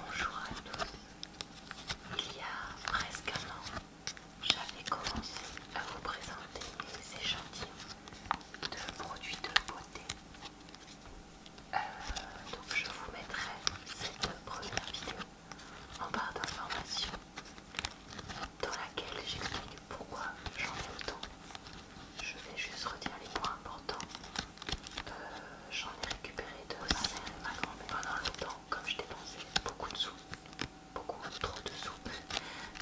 Bonjour à tous. Il y a presque un an, j'avais commencé à vous présenter ces échantillons de produits de beauté. Euh, donc je vous mettrai cette première vidéo en barre d'information dans laquelle j'explique pourquoi j'en ai autant. Je vais juste redire les points importants J'en ai récupéré de ma mère et de comme je dépensais beaucoup de soupe beaucoup trop de sous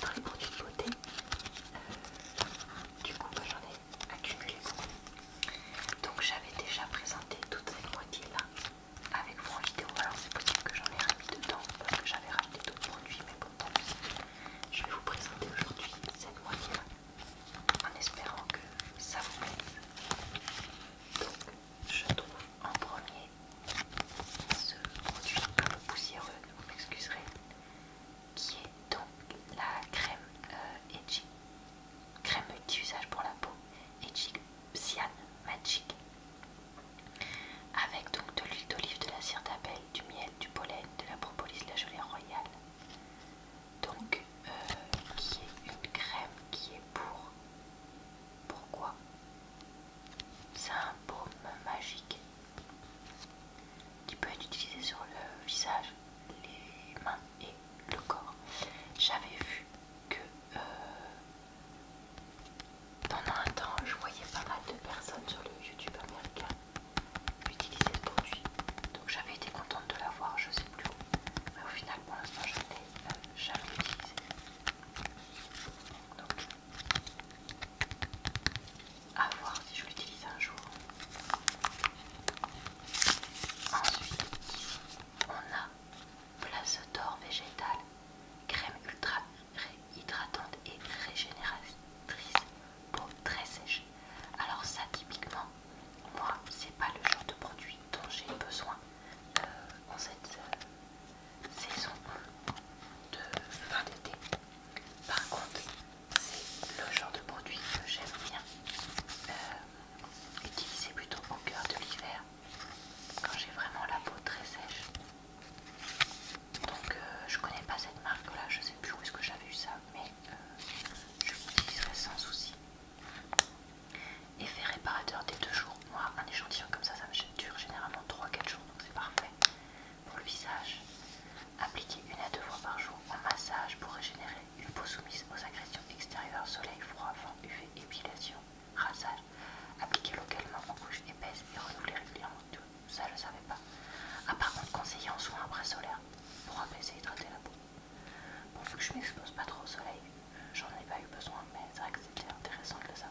dans les produits de beauté. Euh, du coup, j'en ai accumulé beaucoup. Donc, j'avais déjà présenté toute cette moitié là avec vous en vidéo. Alors, c'est possible que j'en ai remis dedans parce que j'avais racheté d'autres produits, mais bon, Je vais vous présenter aujourd'hui cette moitié là en espérant que ça vous plaise. Donc, je trouve en premier ce produit un peu poussiéreux, vous m'excuserez, qui est donc la crème euh, crème multi-usage pour la peau, Edgy Cyan Magic, avec donc de l'huile d'olive, de la cire d'abeille, du miel, du pollen, de la propolis, de la gelée royale. Donc qui est une crème qui est pour. Pourquoi C'est un baume magique qui peut être utilisé sur le visage, les mains et le corps. J'avais vu que euh, pendant un temps, je voyais pas mal de personnes sur le YouTube américain utiliser ce produit. Donc j'avais été contente de l'avoir, je sais plus où. Mais au final, pour l'instant, je ne l'ai euh, jamais utilisé. Donc, à voir si je l'utilise un jour. Ensuite, on a place d'or végétal crème ultra hydratante et régénératrice, peau très sèche. Alors ça typiquement, moi c'est pas le genre de produit dont j'ai besoin euh, en cette euh, saison de fin d'été. Par contre, c'est le genre de produit que j'aime bien euh, utiliser plutôt au cœur de l'hiver quand j'ai vraiment la peau très sèche. Donc je connais pas cette marque là, je sais plus où est-ce que j'avais eu ça, mais je l'utiliserai sans souci. Effet réparateur des deux jours. Moi, un échantillon comme ça, ça me dure généralement 3-4 jours, donc c'est parfait. Pour le visage, appliquer une à deux fois par jour un massage pour régénérer une peau soumise aux agressions extérieures, soleil, froid, vent, UV, épilation, rasage. Appliquer localement en couche épaisse et renouveler régulièrement. Tout ça, je savais pas. À ah, par contre, conseiller en soin après solaire pour apaiser et hydrater la peau. Bon, vu que je m'expose pas trop au soleil, j'en ai pas eu besoin, mais c'est vrai que c'était intéressant de ça.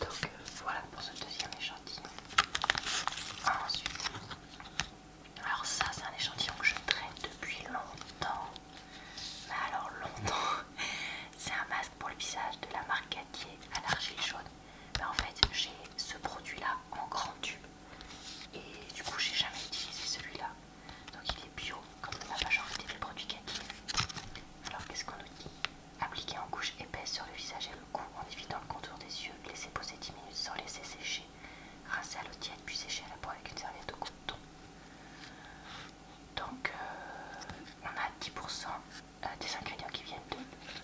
Donc euh, voilà pour ce deuxième échantillon. Ensuite, alors ça c'est un échantillon que je traîne depuis longtemps. Mais alors longtemps, c'est un masque pour le visage de la marque Gatier à l'argile chaude. Bah, en fait j'ai ce produit là en grand tube et du coup j'ai jamais utilisé celui-là donc il est bio comme la majorité des produits Cathy alors qu'est-ce qu'on nous dit appliquer en couche épaisse sur le visage et le cou en évitant le contour des yeux laisser poser 10 minutes sans laisser sécher rincer à l'eau tiède puis sécher à la peau avec une serviette de coton donc euh, on a 10% euh, des ingrédients qui viennent de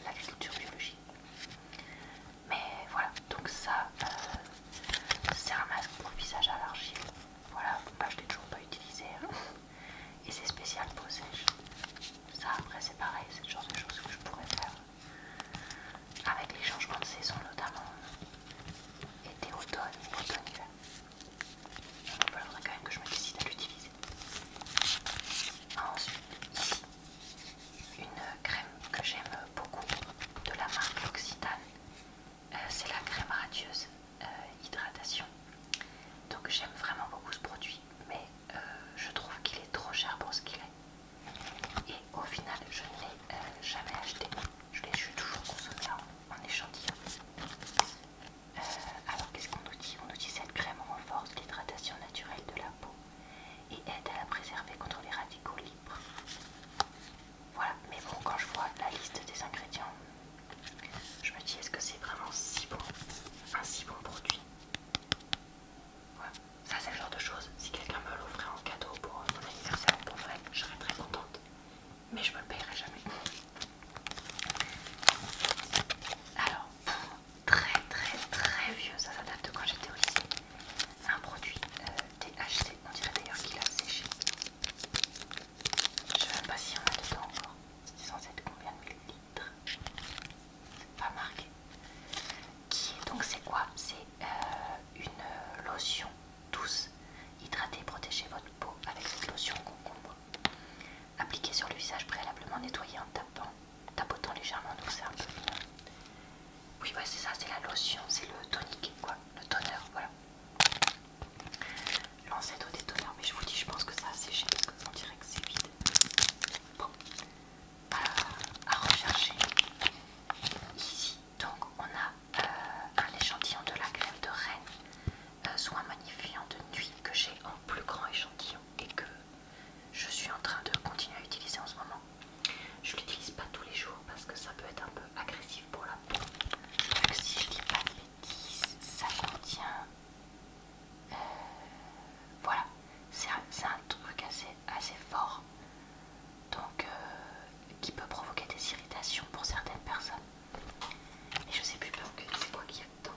l'agriculture biologique mais voilà, donc ça, euh, c'est un masque pour visage l'argile. Voilà, bah, je l'ai toujours pas utilisé. Hein. Et c'est spécial pour sèche. Ça, après, c'est pareil, c'est le genre de choses que je pourrais faire avec les changements de saison, notamment euh, été, automne, automne, hiver. il quand même que je me décide à l'utiliser. Ensuite, une crème que j'aime beaucoup de la marque L'Occitane. Euh, c'est la crème radieuse euh, hydratation. Donc j'aime vraiment beaucoup ce produit, mais euh, je trouve qu'il est trop cher pour ce qu'il est. Et au final, je ne l'ai jamais acheté. Je l'ai toujours consommé en, échantillon. alors qu'est-ce qu'on nous dit On nous dit cette crème renforce l'hydratation naturelle de la peau et aide à la préserver contre les radicaux libres. Voilà, mais bon, quand je vois la liste des ingrédients, je me dis est-ce que c'est vraiment si bon, un si bon produit voilà. Ça c'est le genre de choses, si quelqu'un me l'offrait en cadeau pour mon anniversaire, pour vrai, je serais très contente, mais je me le payerai jamais. Alors, très très très vieux, ça s'adapte date de quand j'étais au lycée. Un produit euh, THC, on dirait d'ailleurs qu'il a séché. Je sais même pas si on a dedans encore. c'était censé être combien de millilitres C'est pas marqué. Qui est donc c'est quoi C'est euh, une euh, lotion douce. Hydratez, protéger votre peau avec cette lotion concombre. Appliquez sur le visage préalablement nettoyé en tapant tapotant légèrement, donc c'est un peu Oui, ouais, c'est ça, c'est la lotion, c'est le tonique, quoi, le toner, voilà. L'ancêtre des toners, mais je vous dis, je pense que ça a séché parce dirait que c'est vide. Bon, euh, à rechercher. Ici, donc, on a euh, un échantillon de la crème de reine, euh, soit soin magnifiant de nuit que j'ai en plus grand échantillon et que je suis en train de continuer à utiliser en ce moment. Je l'utilise pas tous les jours parce que ça peut être un peu agressif pour la peau. Donc si je dis pas de bêtises, ça contient... Euh, voilà, c'est un, truc assez, fort, donc euh, qui peut provoquer des irritations pour certaines personnes. Et je sais plus que c'est quoi qu'il y a dedans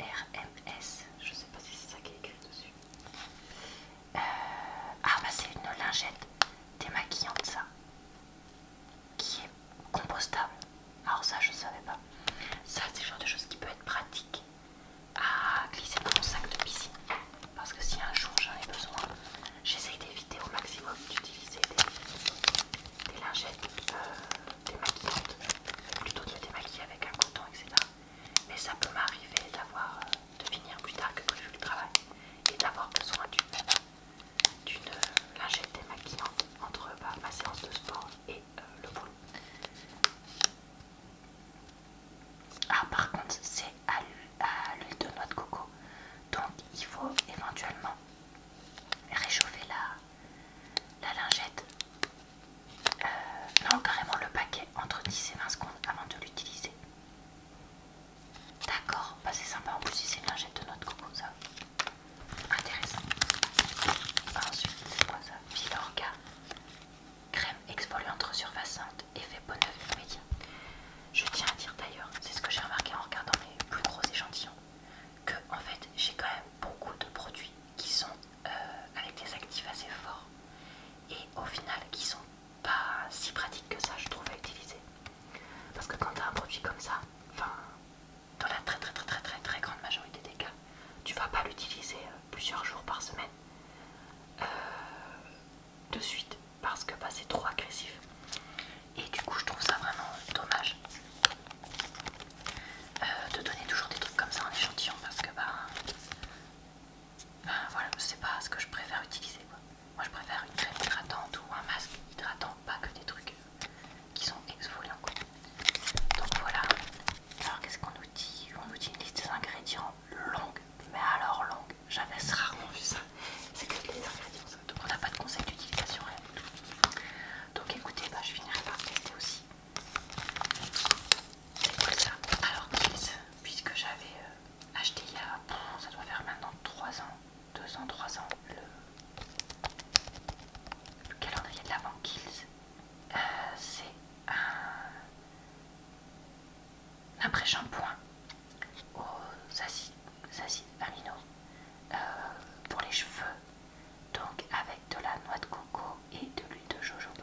RMS, je sais pas si c'est ça qui est écrit dessus. Euh, ah bah c'est une lingette démaquillante ça, qui est compostable. Alors ça je savais pas. Ça c'est le genre de choses qui peut être pratique à glisser dans mon sac de piscine. Parce que si un jour j'en ai besoin, j'essaye d'éviter au maximum d'utiliser des, des lingettes euh, démaquillantes, plutôt de me démaquiller avec un coton, etc. Mais ça peut m'arriver d'avoir de finir plus tard que prévu le travail et d'avoir besoin d'une euh, lingette démaquillante entre bah, ma séance de sport et euh, le boulot. Ah par contre c'est à l'huile de noix de coco donc il faut éventuellement réchauffer la, la lingette, euh, non carrément le paquet entre 10 et 20 secondes avant de l'utiliser. D'accord, bah, c'est sympa en plus si c'est une lingette de notre coco ça. Intéressant. Ensuite, c'est quoi ça Filorga, Crème exfoliante resurfaçante, effet peau neuve immédiat. Je tiens à dire d'ailleurs, c'est ce que j'ai remarqué en regardant les plus gros échantillons que en fait j'ai quand même beaucoup de produits qui sont euh, avec des actifs assez forts et au final qui sont pas si pratiques que ça je trouve à utiliser parce que quand tu as un produit comme ça enfin dans la très très très très très très grande majorité des cas tu vas pas l'utiliser euh, plusieurs jours par semaine euh, de suite parce que bah, c'est trop agressif et du coup je trouve ça vraiment dommage euh, de donner toujours des trucs comme ça en échantillon parce que bah euh, voilà c'est pas ce que je préfère utiliser quoi. moi je préfère une crème hydratante ou un masque hydratant pas que des trucs euh, qui sont exfoliants donc voilà alors qu'est-ce qu'on nous dit on nous dit liste des ingrédients longue mais alors longue j'avais rarement vu ça c'est que les ingrédients donc on n'a pas de conseil d'utilisation. tout. Donc écoutez, bah, je finirai par tester aussi. C'est ça. Alors Kills, puisque j'avais euh, acheté il y a, ça doit faire maintenant 3 ans, 2 ans, 3 ans, le, calendrier de l'avant Kills, euh, c'est un, Après pré-shampoing aux acides, acides aminaux euh, pour les cheveux, donc avec de la noix de coco et de l'huile de jojoba.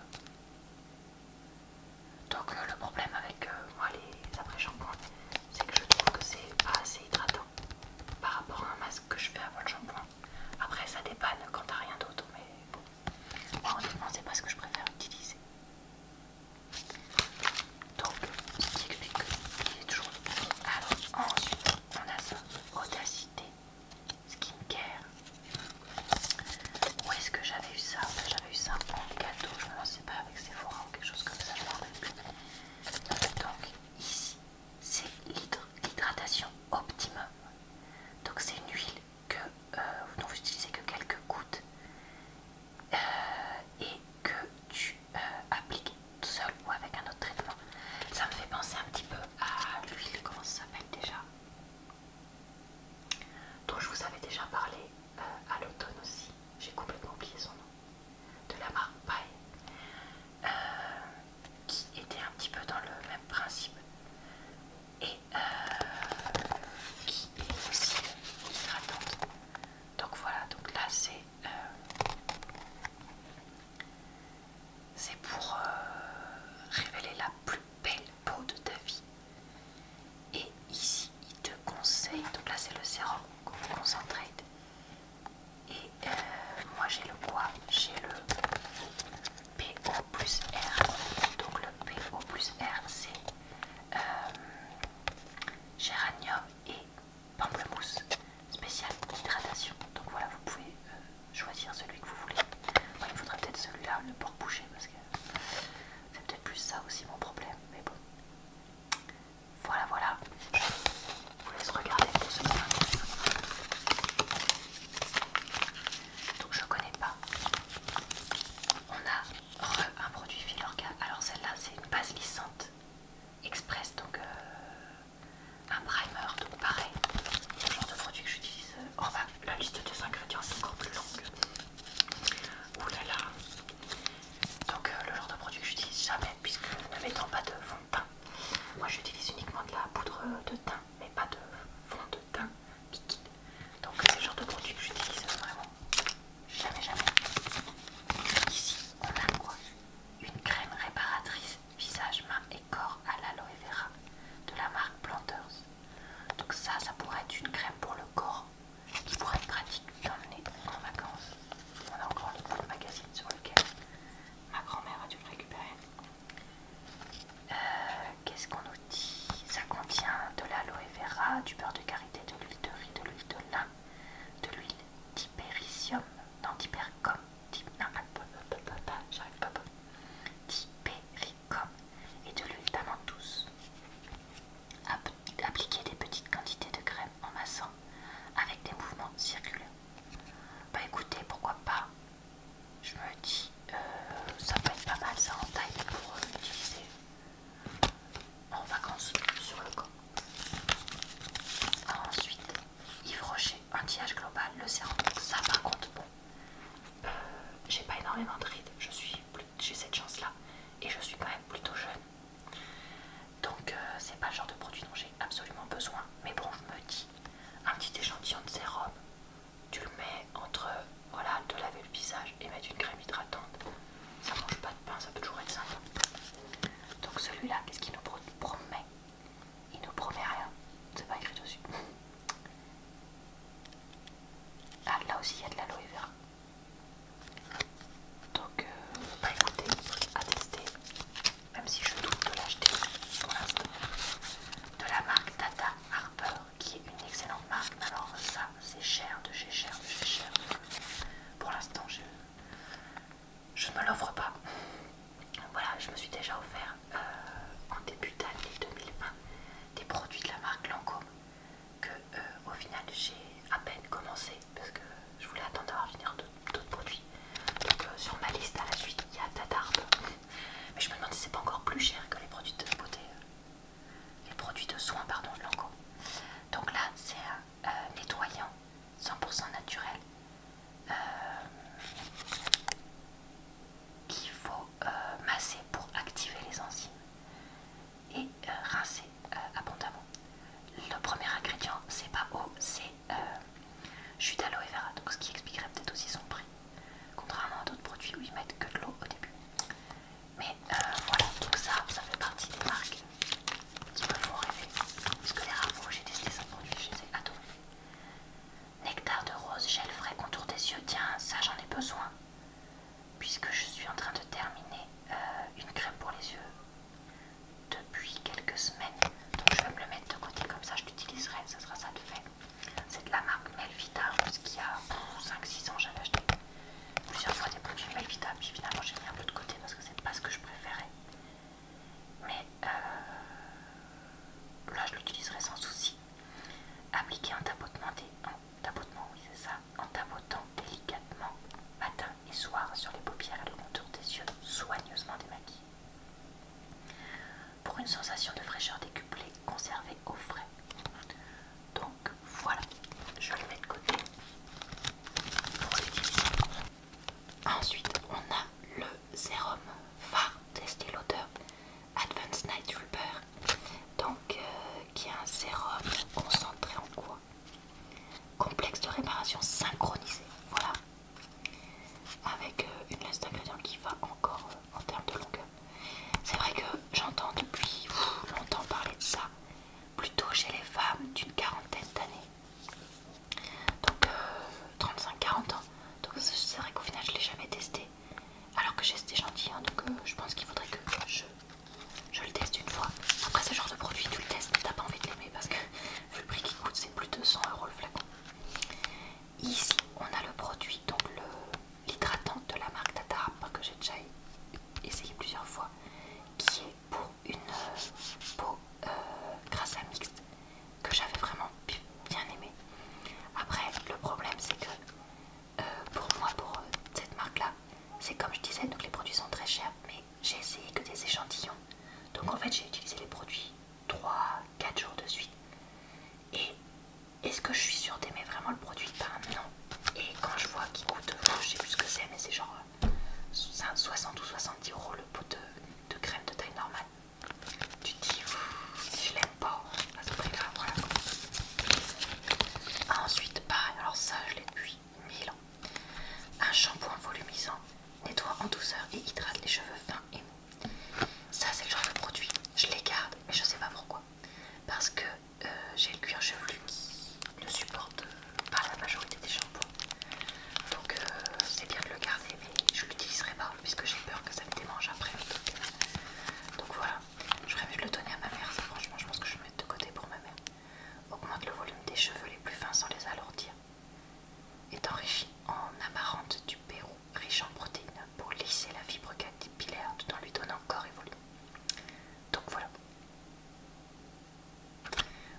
Donc euh, le problème avec euh, moi les après-shampoings, c'est que je trouve que c'est pas assez hydratant par rapport à un masque que je fais avant le shampoing. Après ça dépanne quand t'as rien d'autre, mais bon. Honnêtement, c'est pas ce que je préfère utiliser donc ce qui explique qu'il est toujours bon. Alors ensuite on a ça, audacité, skincare. Où est-ce que j'avais eu ça ben, J'avais eu ça en cadeau, je ne sais pas avec Sephora ou quelque chose comme ça, je ne me rappelle plus. Donc ici c'est l'hydratation optimum. Donc c'est une huile que euh, dont vous n'utilisez que quelques gouttes euh, et que tu euh, appliqué tout seul ou avec un autre traitement. Ça me fait penser un petit peu à l'huile, comment ça s'appelle déjà dont je vous avais déjà parlé euh, à l'automne aussi. J'ai complètement oublié son nom. De la marque Paille. Euh, qui était un petit peu dans le même principe. Et qui est aussi hydratante. Donc voilà, donc là c'est euh, c'est pour euh, révéler la plus belle peau de ta vie. Et ici, il te conseille, donc là c'est le sérum concentré. Et euh, moi j'ai le quoi J'ai le PO plus R. Donc le PO plus R c'est géranium et pamplemousse spécial hydratation. Donc voilà, vous pouvez euh, choisir celui que vous voulez. il faudrait peut-être celui-là, le porc bouché, parce que c'est peut-être plus ça aussi mon problème. Mais bon, voilà, voilà. Je vous laisse regarder pour ce moment. Donc je connais pas. On a un produit Filorga. Alors celle-là, c'est une base lissante express, donc euh, un primer, donc pareil, le genre de produit que j'utilise. En euh, oh, bah la liste des ingrédients est encore plus longue. Ouh là là. Donc euh, le genre de produit que j'utilise jamais, puisque ne mettant pas de fond de teint. Moi j'utilise uniquement de la poudre de teint, mais pas de fond de teint Donc le genre de produit que j'utilise vraiment Jamais, jamais. Ici, on a quoi Une crème réparatrice visage, main et corps à l'aloe vera de la marque Planters. Donc ça, ça pourrait être une crème pour le corps qui pourrait être pratique d'emmener en vacances. On a encore le magazine sur lequel ma grand-mère a dû le récupérer. Euh, qu'est-ce qu'on nous dit Ça contient de l'aloe vera, du beurre de karité, de l'huile de riz, de l'huile de lin, de l'huile non de j'arrive d'hypericum et de l'huile d'amande Appliquer des petites quantités de crème en massant avec des mouvements circulaires. Bah écoutez, pourquoi pas Je me dis, euh, ça peut être pas mal ça en taille pour l'utiliser. Euh, en vacances sur le camp. ensuite, Yves Rocher, anti-âge global, le sérum. Ça, par contre, bon, j'ai pas énormément de rides, je suis j'ai cette chance-là et je suis quand même plutôt jeune. Donc, euh, c'est pas le genre de produit dont j'ai absolument besoin. Mais bon, je me dis, un petit échantillon de sérum, tu le mets entre, voilà, te laver le visage et mettre une crème hydratante ça mange pas de pain, ça peut toujours être sympa. Donc celui-là, qu'est-ce qu'il nous promet Il nous promet rien, c'est pas écrit dessus. Ah, là aussi il y a de l'aloe vera. Donc, à euh, bah écoutez, à tester, même si je doute de l'acheter pour l'instant, de la marque Tata Harper, qui est une excellente marque. Alors ça, c'est cher de chez cher de chez cher pour l'instant je, ne me l'offre pas. Voilà, je me suis déjà offert euh, en début d'année 2020 des produits de la marque Lancôme que euh, au final j'ai à peine commencé parce que je voulais attendre d'avoir fini d'autres produits. Donc euh, sur ma liste à la suite il y a Mais je me demande si c'est pas encore plus cher que les produits de beauté. Les produits de soins, pardon, de Lancôme. Donc là, c'est euh, nettoyant 100% naturel qu'il euh, faut euh, masser pour activer les enzymes et rincer abondamment. Le premier ingrédient, c'est pas eau, c'est jus d'aloe vera, ce qui expliquerait peut-être aussi son prix, contrairement à d'autres produits où ils mettent que de l'eau au début. Mais euh, voilà, tout ça, ça fait partie des marques qui me font rêver. Parce que les rameaux, j'ai testé ça produit, je les ai adorés. Nectar de rose, gel frais, contour des yeux. Tiens, ça j'en ai besoin. Puisque je suis en train de terminer euh, une crème pour les yeux depuis quelques semaines. Donc je vais me le mettre de côté comme ça, je l'utiliserai, ça sera ça de fait. C'est de la marque Melvita, qu'il y a 5-6 ans j'avais acheté plusieurs fois des produits inévitable. puis finalement j'ai mis un peu de côté parce que c'est pas ce que je préférais. Mais euh, là je l'utiliserai sans souci. Appliquer un tapotement des. En En tapotant délicatement matin et soir sur les paupières et le contour des yeux, soigneusement démaquillés. Pour une sensation de fraîcheur décuplée, conservée au frais. Donc voilà, je le mets de côté Ensuite, on a le sérum phare testé l'odeur Advanced Night Reaper. Donc, euh, qui est un sérum concentré en quoi Complexe de réparation synchronisé. Voilà. Avec euh, une liste d'ingrédients qui va encore euh, en termes de longueur. C'est vrai que j'entends depuis longtemps parler de ça plutôt chez les femmes d'une quarantaine d'années. Donc 35-40 euh, ans. Donc c'est vrai qu'au final je l'ai jamais testé. Alors que j'ai été gentil. donc euh, je pense qu'il faudrait que je, le teste une fois. Après ce genre de produit, tu le testes, mais t'as pas envie de l'aimer parce que le prix qui coûte, c'est plus de 100 euros le flacon. Ici on a le produit, donc le l'hydratante de la marque Tata que j'ai déjà essayé plusieurs fois, qui est pour une euh, peau euh, grasse grâce à mixte que j'avais vraiment bien aimé. Après, le problème c'est que euh, pour moi, pour cette marque-là, c'est comme je disais, donc les produits sont très chers, mais j'ai essayé que des échantillons. Donc en fait, j'ai utilisé les produits 3-4 jours de suite. Et est-ce que je suis sûre d'aimer vraiment le produit Ben non. Et quand je vois qu'il coûte, euh, je sais plus ce que c'est, mais c'est genre 60 euh, ou 70 euros le pot de, crème de taille normale. Tu te dis, si je l'aime pas, hein, c'est prix grave, voilà. Ah, ensuite, pareil, alors ça je l'ai depuis 1000 ans. Un shampoing volumisant, nettoie en douceur et hydrate les cheveux fins et mous. Ça c'est le genre de produit, je les garde, mais je sais pas pourquoi. Parce que euh, j'ai le cuir chevelu qui ne supporte pas la majorité des shampoings. Donc euh, c'est bien de le garder mais je ne l'utiliserai pas puisque j'ai peur que ça me démange après. Donc voilà, j'aurais mieux le donner à ma mère, ça franchement je pense que je vais le mettre de côté pour ma mère. Augmente le volume des cheveux les plus fins sans les alourdir. Est enrichi en amarante du Pérou, riche en protéines, pour lisser la fibre capillaire tout en lui donnant corps et volume. Donc voilà.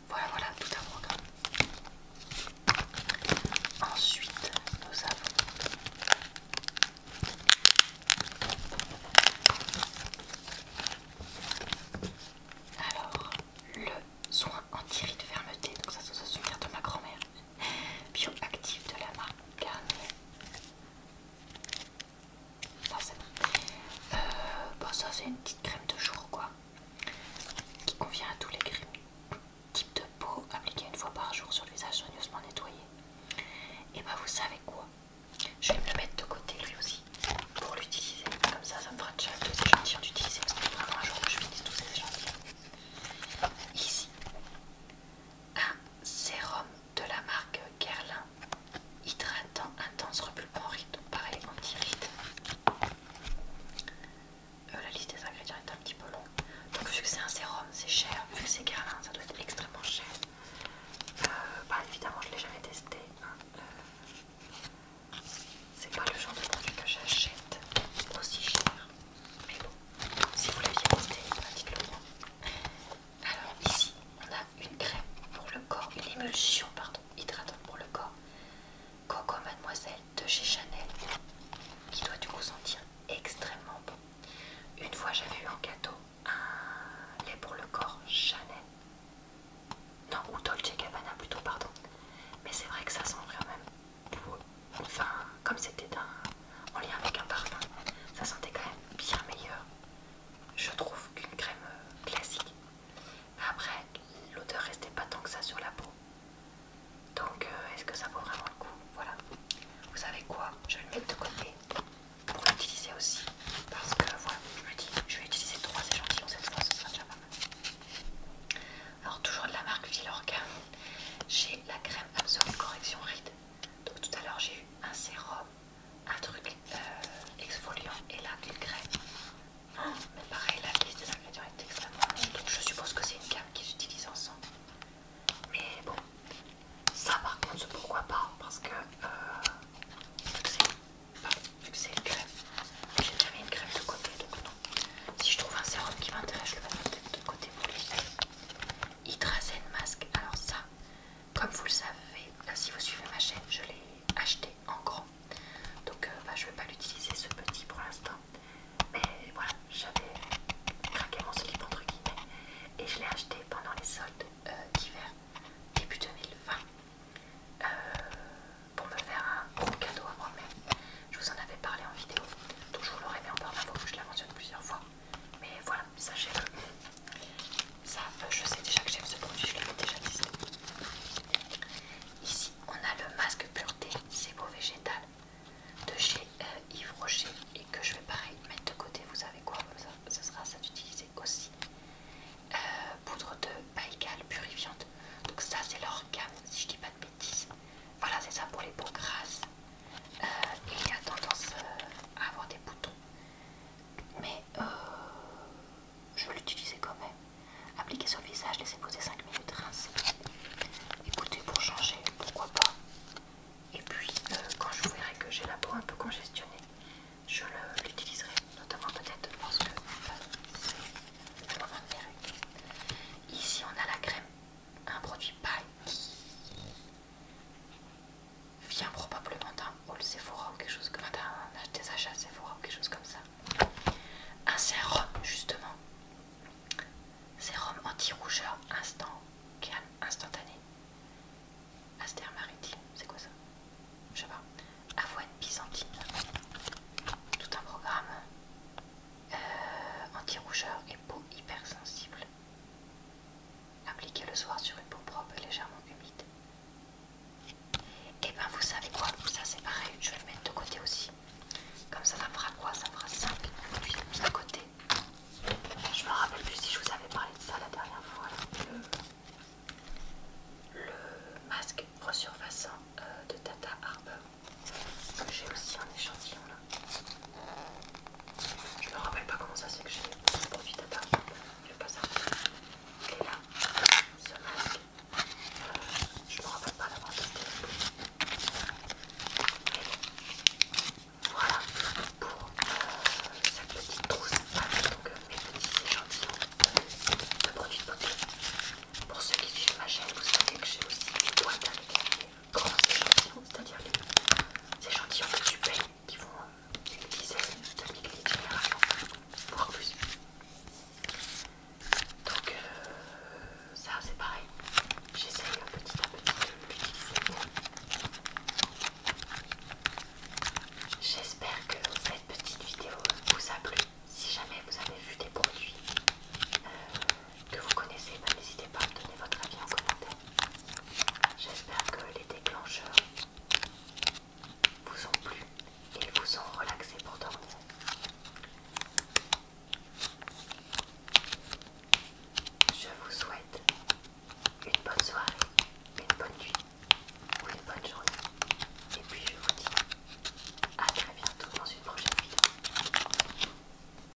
Voilà, voilà, tout un programme. Ensuite, nous avons... Alors, le soin anti-rides fermeté. Donc ça, ça se de ma grand-mère. Bioactive de la marque Garnier. Euh, bon, ça c'est une petite crème de jour quoi, qui convient à tous les types de peau appliquée une fois par jour sur le visage soigneusement nettoyé. Et bah vous savez quoi, je vais me le mettre de côté lui aussi pour l'utiliser. Comme ça, ça me fera déjà les échantillons d'utiliser parce que vraiment un jour que je finisse tous ces échantillons. Ici, un sérum de la marque Guerlain, hydratant intense repulpant ride, pareil euh, anti-ride. la liste des ingrédients est un petit peu longue. Donc vu que c'est un sérum, c'est cher. Vu que c'est Guerlain, ça doit être extrêmement cher. Euh, bah évidemment, je l'ai jamais testé. Hein. Euh, c'est pas le genre de produit que j'achète aussi cher. Mais bon, si vous l'aviez testé, bah, dites-le moi. Alors ici, on a une crème pour le corps, une émulsion pardon, hydratante pour le corps. Coco Mademoiselle de chez Chanel, qui doit du coup sentir extrêmement bon. Une fois, j'avais eu en gâteau un lait pour le corps Chanel. Non, ou Dolce Gabbana plutôt, pardon. Mais c'est vrai que ça sent vraiment... Enfin, comme c'était un en lien avec un parfum. Ça sentait quand même bien meilleur, je trouve, qu'une crème euh, classique. Après, l'odeur restait pas tant que ça sur la peau. Donc, euh, est-ce que ça vaut vraiment le coup Voilà. Vous savez quoi Je vais le mettre de côté pour l'utiliser aussi. Parce que voilà, je me dis, je vais utiliser trois échantillons cette fois, ce sera déjà pas mal. Alors, toujours de la marque Villorca, j'ai la crème absolue correction ride. Donc tout à l'heure j'ai eu un sérum, un truc euh, exfoliant et là une crème. Oh, mais pareil la liste des ingrédients est extrêmement longue, donc je suppose que c'est une gamme qu'ils utilisent ensemble. Mais bon, ça par contre pourquoi pas parce que euh, euh, vu que c'est une crème, j'ai jamais une crème de côté donc non. Si je trouve un sérum qui m'intéresse, je le mets de côté pour les masque, alors ça comme vous le savez, si vous suivez ma chaîne, je l'ai acheté en grand. Donc, euh, bah, je ne vais pas l'utiliser ce petit pour l'instant. Mais voilà, j'avais craqué mon slip entre guillemets et je l'ai acheté pendant les soldes euh, d'hiver début 2020 euh, pour me faire un gros cadeau à moi-même. Je vous en avais parlé en vidéo, donc je vous l'aurais mis en barre d'infos, je la mentionne plusieurs fois. Mais voilà, ça le euh, Ça, je sais déjà que j'aime ce produit, je l'avais déjà dit Ici, on a le masque pureté Sebo végétal de chez euh, Yves Rocher et que je vais pareil mettre de côté. Vous savez quoi ce ça, sera ça d'utiliser aussi. Euh, poudre de Baïkal purifiante. Donc ça, c'est leur gamme, si je dis pas de bêtises. Voilà, c'est ça pour les peaux grasses. Euh, il a tendance euh, à avoir des boutons. Mais euh, je vais l'utiliser quand même. Appliquer sur le visage, laisser poser 5 minutes, rincer. Écoutez, pour changer, pourquoi pas. Et puis, quand je verrai que j'ai la peau un peu congestionnée, je l'utiliserai, notamment peut-être parce que Ici, on a la crème un produit paille qui vient probablement d'un hall Sephora ou quelque chose comme des achats Sephora quelque chose comme ça. Un sérum justement, sérum anti-rougeur instant instantané. Aster maritime, c'est quoi ça Je sais pas. Avoine byzantine, tout un programme euh, anti-rougeur et peau hypersensible appliquer le soir sur une peau propre légèrement humide. Et eh ben vous savez quoi, ça c'est pareil, je vais le mettre de côté aussi. Comme ça, ça fera quoi Ça fera 5 produits de côté. Je me rappelle plus si je vous avais parlé de ça la dernière fois. Le, masque resurfaçant euh, de Tata Harper. J'ai aussi un échantillon là. Je me rappelle pas comment ça c'est que j'ai profité pas ça. bazar. Et là, ce masque, euh, je me rappelle pas l'avoir testé. Voilà pour euh, cette petite trousse donc, euh, mes petits échantillons de produits de beauté. Pour ceux qui suivent ma chaîne, vous savez que j'ai aussi une boîte à grands échantillons, hein, c'est-à-dire les échantillons que tu payes qui vont utiliser c'est de l'église de voire plus. Donc, euh, ça c'est pareil, j'essaye hein, petit à petit de l'utiliser. J'espère que cette petite vidéo vous a plu. Si jamais vous avez vu des produits euh, que vous connaissez, ben, n'hésitez pas à me donner votre avis en commentaire. J'espère que les déclencheurs vous ont plu et vous ont relaxé pour dormir. Je vous souhaite une bonne soirée, une bonne nuit ou une bonne journée. Et puis je vous dis à très bientôt dans une prochaine vidéo.